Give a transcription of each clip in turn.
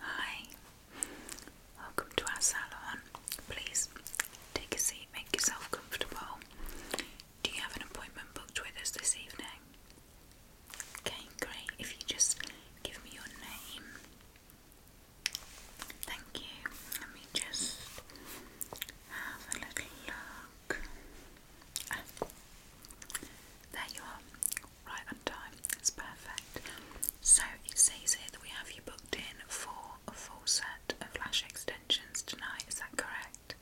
Hi, welcome to our salon. Please take a seat, make yourself comfortable. Do you have an appointment booked with us this evening? Okay, great. If you just give me your name. Thank you. Let me just have a little look. There you are, right on time. It's perfect. So it says here that we have you booked in for a full set of lash extensions tonight. Is that correct?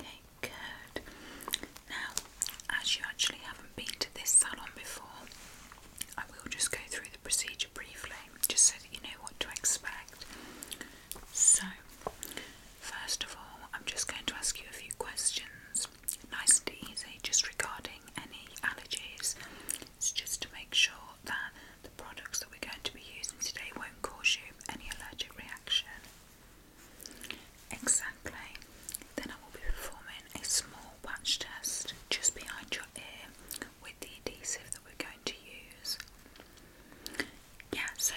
Okay, good. Now, as you actually haven't been to this salon before, I will just go through the procedure briefly, just so that you know what to expect. So, First of all, I'm just going to ask you a few questions, nice and easy, just regarding any allergies. It's just to make sure that the products that we're going to be using today won't cause you any allergic reaction. Exactly. Then I will be performing a small patch test just behind your ear with the adhesive that we're going to use yeah, so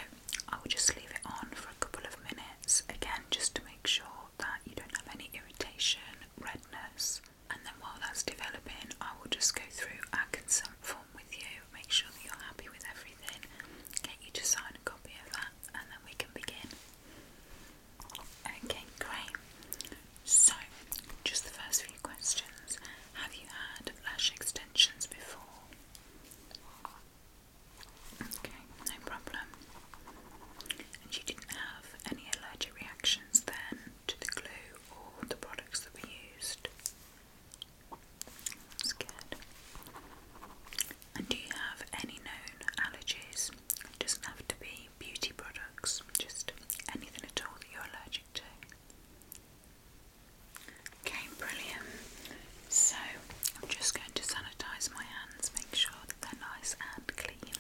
I'll just leave it on for a couple of minutes again just to make sure that you don't have any irritation, redness, and then while that's developing, I will just go through our consent form with you, make sure that you're happy with everything, get you to sign a copy of that, and then we can begin. Okay, great. So, just the first few questions. Have you had lash extensions before? Okay, no problem. And you didn't have any allergic reactions then to the glue or the products that we used? good. And do you have any known allergies? doesn't have to be beauty products, just anything at all that you're allergic to. Okay, brilliant. So I'm just going to sanitize my hands, make sure that they're nice and clean.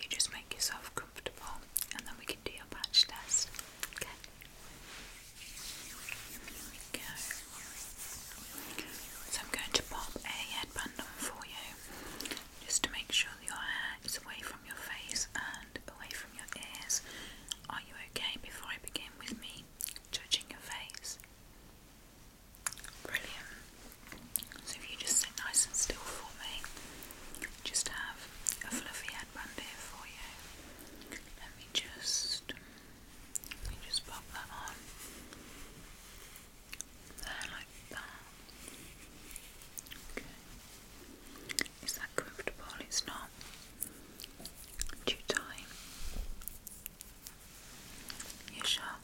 You just make yourself comfortable and then we can do your patch test. Okay. Here we go. So I'm going to pop a headband on for you just to make sure your hair is away from your face and away from your ears. Are you okay before I begin with me judging your face? Brilliant. So if you just sit nice and still for me, just have a fluffy headband here for you. Let me just let me just pop that on. There like that. Okay. Is that comfortable? It's not too tight. You sure?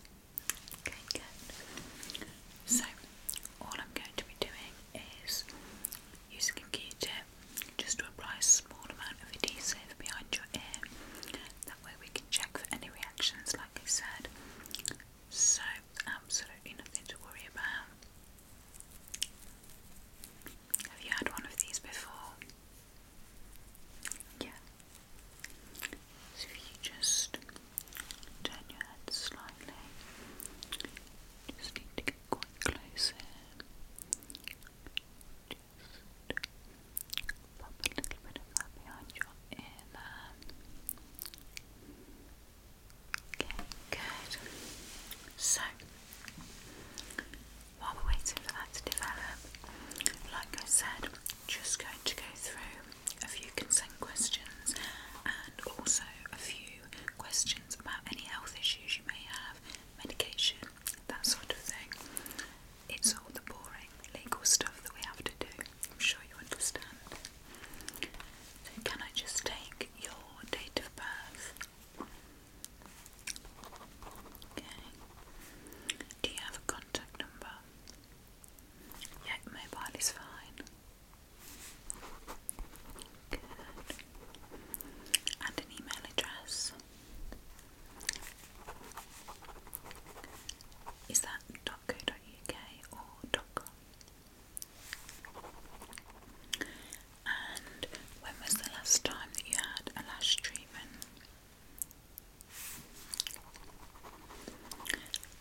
Okay, good. So, all I'm going to be doing is using a q tip just to apply a small amount of adhesive behind your ear. That way, we can check for any reactions, like I said. So, absolutely nothing to worry about. Have you had one of these before? Yeah. So if you just turn your head slightly, just need to get close here. Just pop a little bit of that behind your ear Okay, good. So while we're waiting for that to develop, like I said, just going to go through a few consent questions and also a few questions about any health issues you may have, medication, that sort of thing. It's all the boring legal stuff that we have to do. I'm sure you understand. So, can I just take your date of birth? Okay. Do you have a contact number? Yeah, mobile is fine. Good. And an email address. Is that .co.uk or .com? And when was the last time that you had a lash treatment?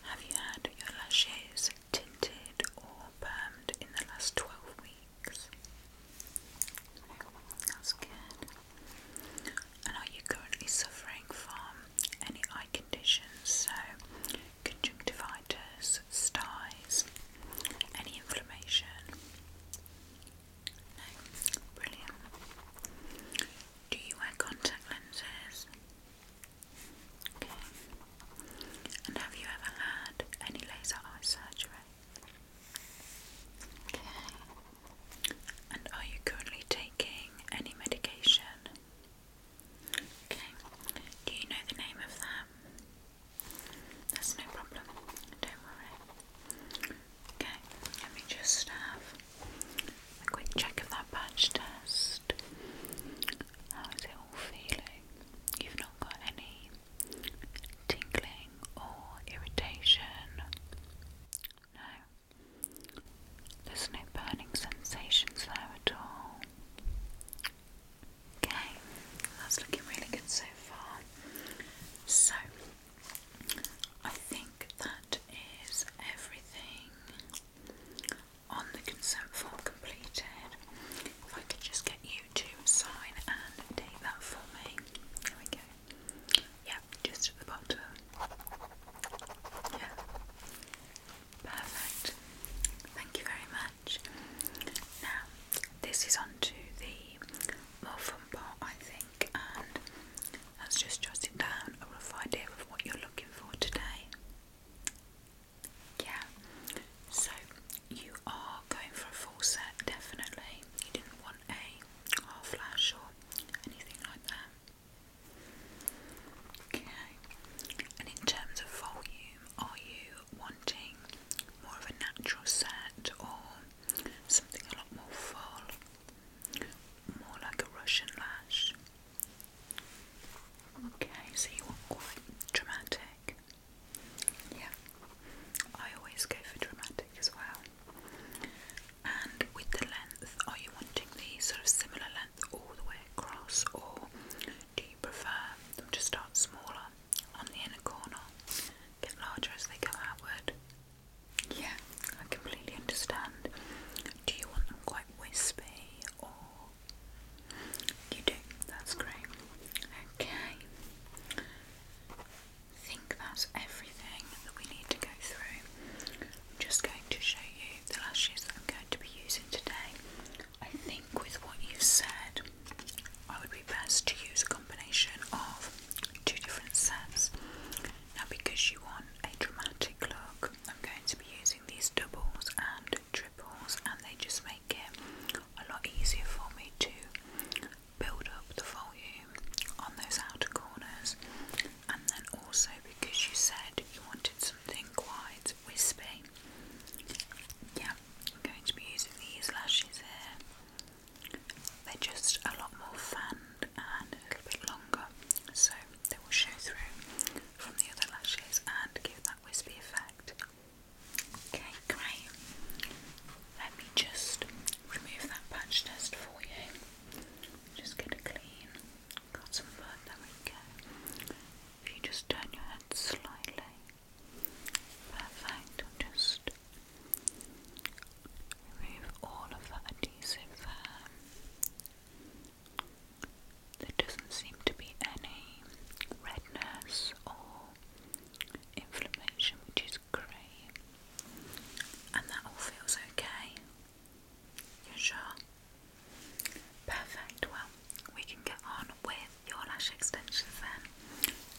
Have you had your lashes tinted or permed in the last 12 weeks? That's good. And are you currently suffering from any eye conditions? So, conjunctivitis, styes, any inflammation? brilliant. Do you wear contact lenses? Okay. And have you ever had any laser eye surgery? Okay. And are you currently taking any medication? Okay. Do you know the name of that? That's no problem. Don't worry. Okay, let me just have a quick check of that patch test. How is it all feeling? You've not got any tingling or irritation? No. There's no burning sensations there at all. Okay, that's looking really good so far. So I think that is everything on the consent form completed. If I could just get you to sign and date that for me. There we go. Yeah, just at the bottom. Yeah. Perfect. Thank you very much. Now, this is on the more fun part, I think, and that's just jotting down a rough idea of what you're looking for today. Yeah, so you are going for a full set, definitely. You didn't want a half flash or anything like that. Okay, and in terms of volume, are you wanting more of a natural set or something a lot more full, more like a Russian lash. Okay, so you want quite dramatic. Yeah, I always go for dramatic as well. And with the length, are you wanting the sort of similar length all the way across, or do you prefer them to start smaller? on the inner corner get larger as they go outward. Yeah, I completely understand. Do you want them quite wispy or you do? That's great. Okay. I think that's everything that we need to go through. I'm just going to show you the lashes that I'm going to be using today. I think with what you said, I would be best to use a combination of two different sets. Now, because you want a dramatic look, I'm going to be using these doubles and triples, and they just make it a lot easier for me to build up the volume on those outer corners. And then also, because you said you wanted something quite wispy, yeah, I'm going to be using these lashes here. They're just a lot more fanned and a little bit longer, so they will show through from the other lashes and give that wispy effect. Okay, great. Let me just remove that patch test for you. Just get a clean cotton bud, there we go. If you just turn your head slightly. Perfect. just remove all of that adhesive there. doesn't seem to be any redness or inflammation, which is great. And that all feels okay. you sure? Perfect. Well, we can get on with your lash extensions then.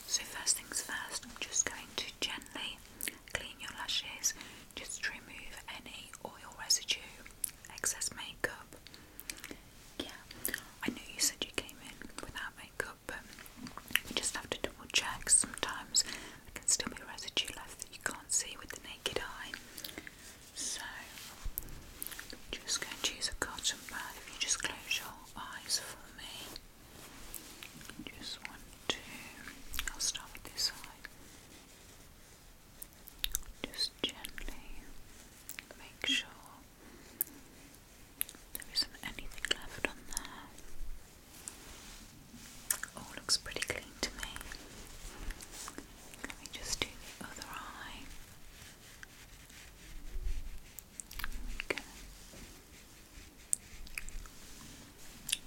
So first things first, I'm just going to gently clean your lashes, just remove any oil residue, excess makeup. Yeah, I know you said you came in without makeup, but you just have to double check. Sometimes there can still be residue left that you can't see with the naked eye. So, I'm just going to use a cotton pad. If you just close your eyes for me, just want to. I'll start with this side. Just gently make sure there isn't anything left on there. All oh, looks pretty clean to me. Let me just do the other eye.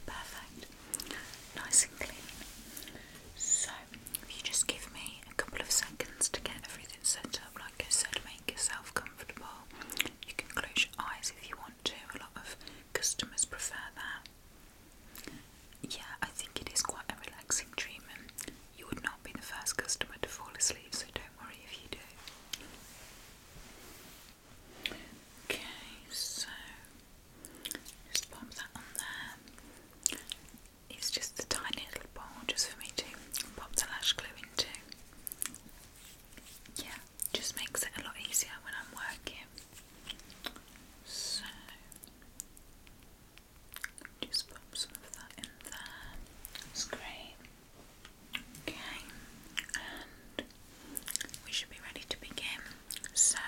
Perfect. Nice and clean. So, if you just give me a couple of seconds to get everything set up, like I said, make yourself comfortable. You can close your eyes if you want to, a lot of customers prefer that. Yeah, I think it is quite a relaxing treatment. You would not be the first customer to fall asleep, so don't don't worry if you do. Okay, so just pop that on there. It's just a tiny little ball just for me to pop the lash glue into. Yeah, just makes it a lot easier when I'm working. So, just pop some of that in there. That's great. Okay, and we should be ready to begin. So,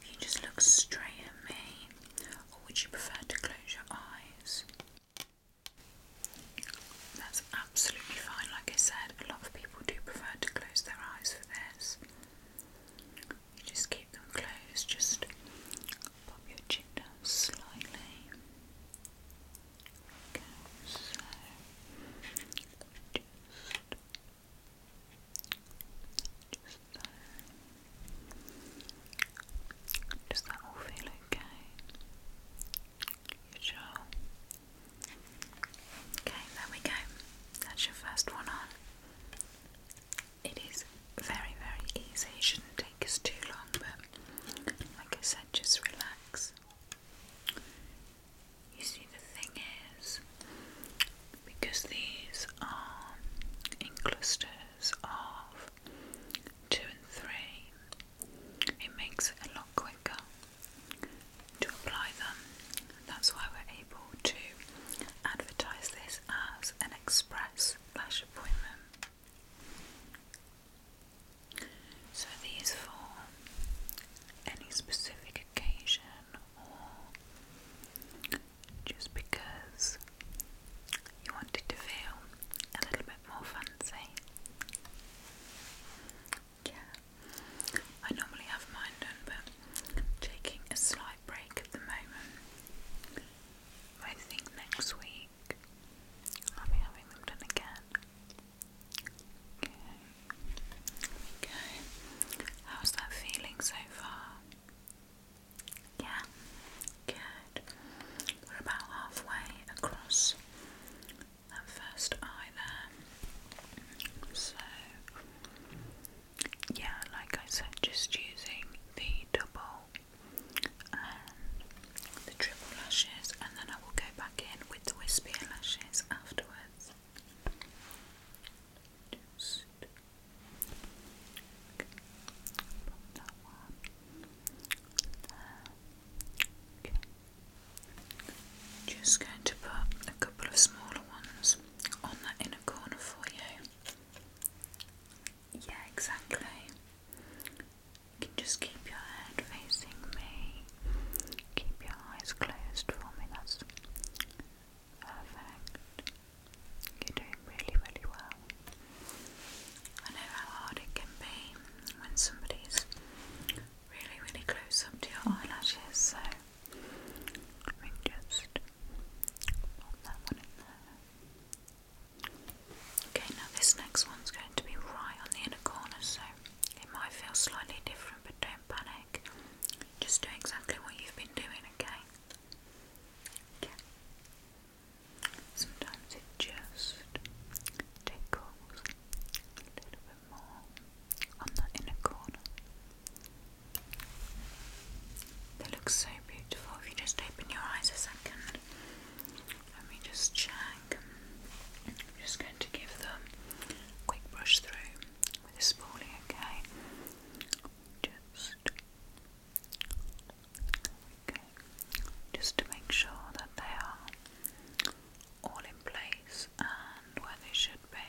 if you just look straight at me, or would you prefer to close your eyes? That's absolutely fine. Like I said, a lot of people do prefer to close their eyes for this. You just keep them closed, just pop your chin down slightly. Okay, so just just there. that all feel okay? You sure? Okay, there we go. That's your first one on. It is very, very easy. You shouldn't take us too long, but like I said, just relax. You see, the thing is, because these are in clusters of two and three, it makes it a lot quicker to apply them. That's why we're able to advertise this as an express flash appointment. So these for any specific occasion or just because you want to feel a little bit more fancy. Yeah, I normally have mine done, but taking a slight break at the moment. I think next week I'll be having them done again. Okay. Okay. How's that feeling so far? Yeah. Good. We're about halfway across that first eye there. So, yeah, like I said, just using the double um, the triple lashes, and then I will go back in with the wispier lashes afterwards. Just Just going to put a couple of smaller ones on that inner corner for you. Yeah, exactly can just keep your head facing me. Keep your eyes closed for me. That's perfect. You're doing really, really well. I know how hard it can be when somebody's really, really close up to your eyelashes, so let me just pop that one Okay, now this next one's going to be right on the inner corner, so it might feel slightly different, but don't panic. Just do exactly what you've been doing, okay? Okay. Sometimes it just tickles a little bit more on the inner corner. They look so beautiful if you just open your eyes a second. Let me just check. I'm just going to give them a quick brush through with a spoolie, okay? Just okay. Just to make sure that they are all in place and where they should be.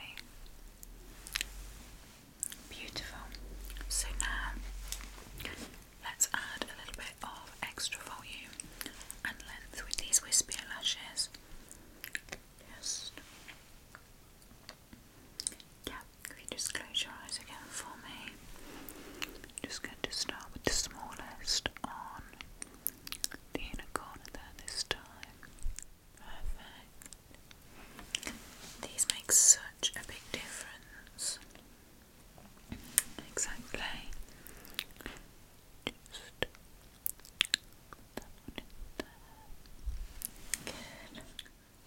Beautiful. So now Let's add a little bit of extra volume and length with these wispy lashes. Just yeah, if you just close your eyes again for me. Just going to start with the smallest on the inner corner there this time. Perfect. These make such a big difference. Exactly. Good.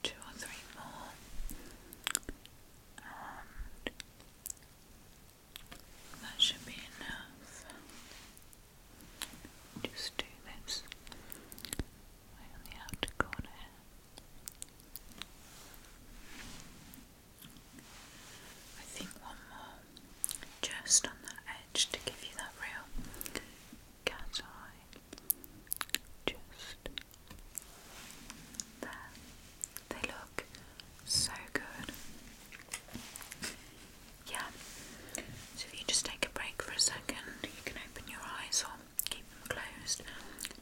Two or three more. that should be enough. Just do this the outer corner I think one more just on that edge to give you that real cat eye. Just there. They look so good. Yeah. So if you just take a break for a second, you can open your eyes keep them closed.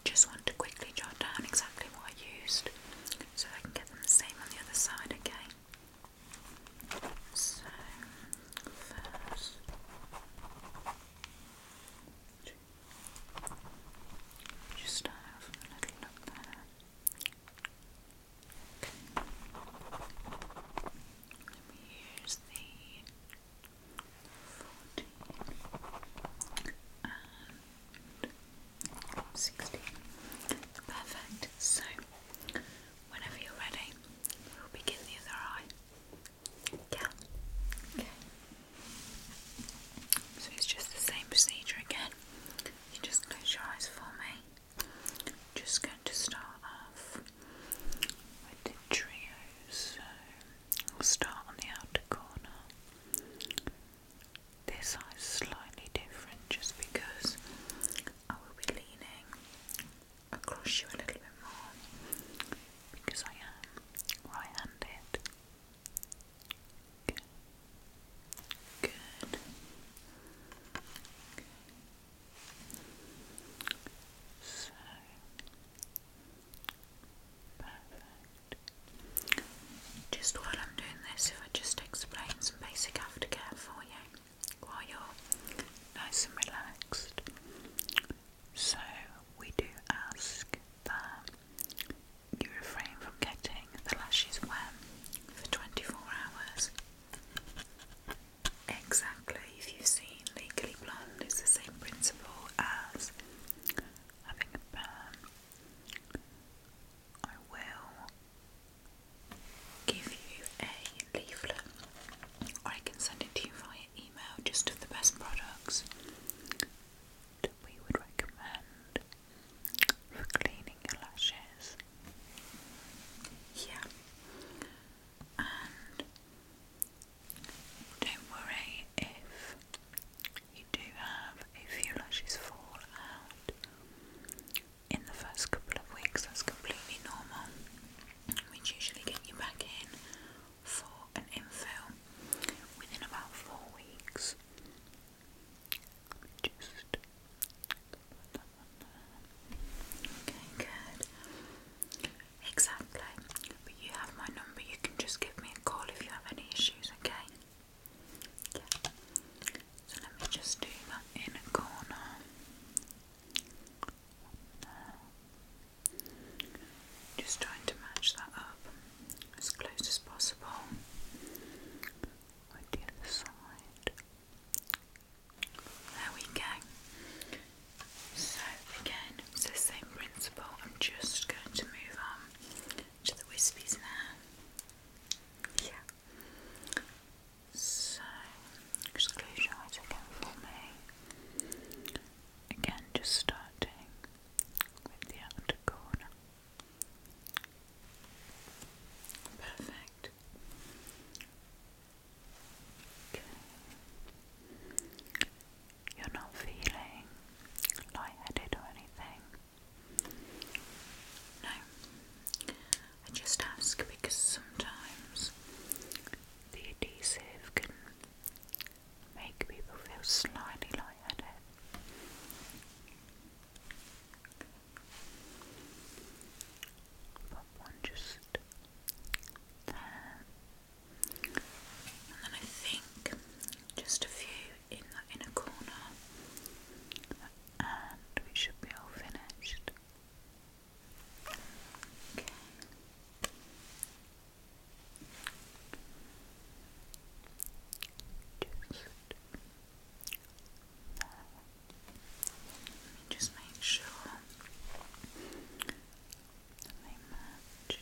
Just want to quickly jot down exactly what I used so I can get them the same on the other side, again. So, first. Just have a little look there. Let me use the 14 Perfect. So, whenever you're ready, we'll begin the other eye. Yeah. Okay. So it's just the same procedure again. You just close your eyes for me. just going to start off with the trio. So we will start on the outer corner. This eye is slightly different just because I will be leaning across you a little bit more because I am right handed. Good. Good. So just while I'm doing this, if I just explain some basic aftercare for you while you're nice and relaxed. So, we do ask that you refrain from getting the lashes wet for 24 hours. Exactly, if you've seen Legally Blonde, it's the same principle as having a burn, I will give you a leaflet, I can send it to you via email just of the best products we would recommend for cleaning your lashes. Yeah, don't worry if you do have a few lashes fall out in the first couple of weeks, that's completely normal. Which usually get you back in for an infill within about four weeks. Just put one Okay, good. Exactly. But you have my number, you can just give me a call if you have any issues, okay? So let me just do that inner corner. Just trying to match that up as close as possible with other side. There we go. So again, it's the same I'm just going to move on to the wispies now. Yeah. So, just close your eyes again for me. Again, just starting with the outer corner. Perfect. Okay you're not feeling lightheaded or anything. No, I just ask because sometimes the adhesive can make people feel slightly lightheaded. Pop one just and then I think just a few in the inner corner, and we should be all finished. Okay. Let me just make sure they match.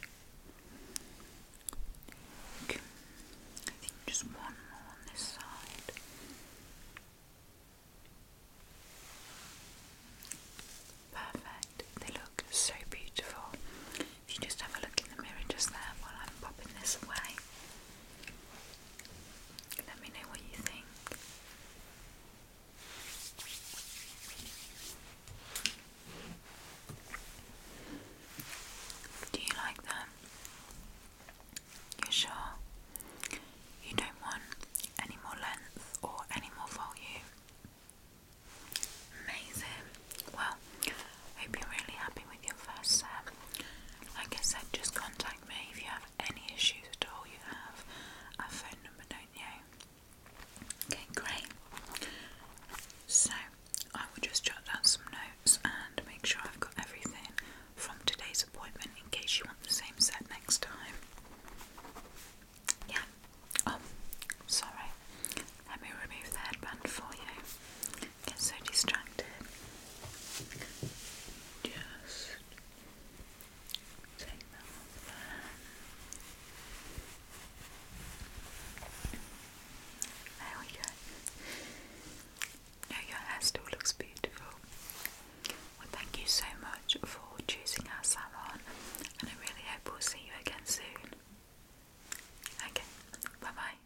I I think just one more on this side. Perfect. They look so beautiful. If you just have a look in the mirror just there while I'm popping this away, let me know what you think. Do you like them? You're sure? You don't want any more length or any more volume? Amazing. Well, I hope you're really happy with your first set. Like I said, just contact me if you have any issues at all. You have our phone number, don't you? Okay, great. So I will just jot down some notes and make sure I've got everything from today's appointment in case you want the same set next time. Yeah. Oh, sorry. Let me remove the headband for you. Get so distracted. Just take that off there we go. No, your hair still looks beautiful. Well, thank you so much for choosing our salon, and I really hope we'll see you again soon. Okay, bye bye.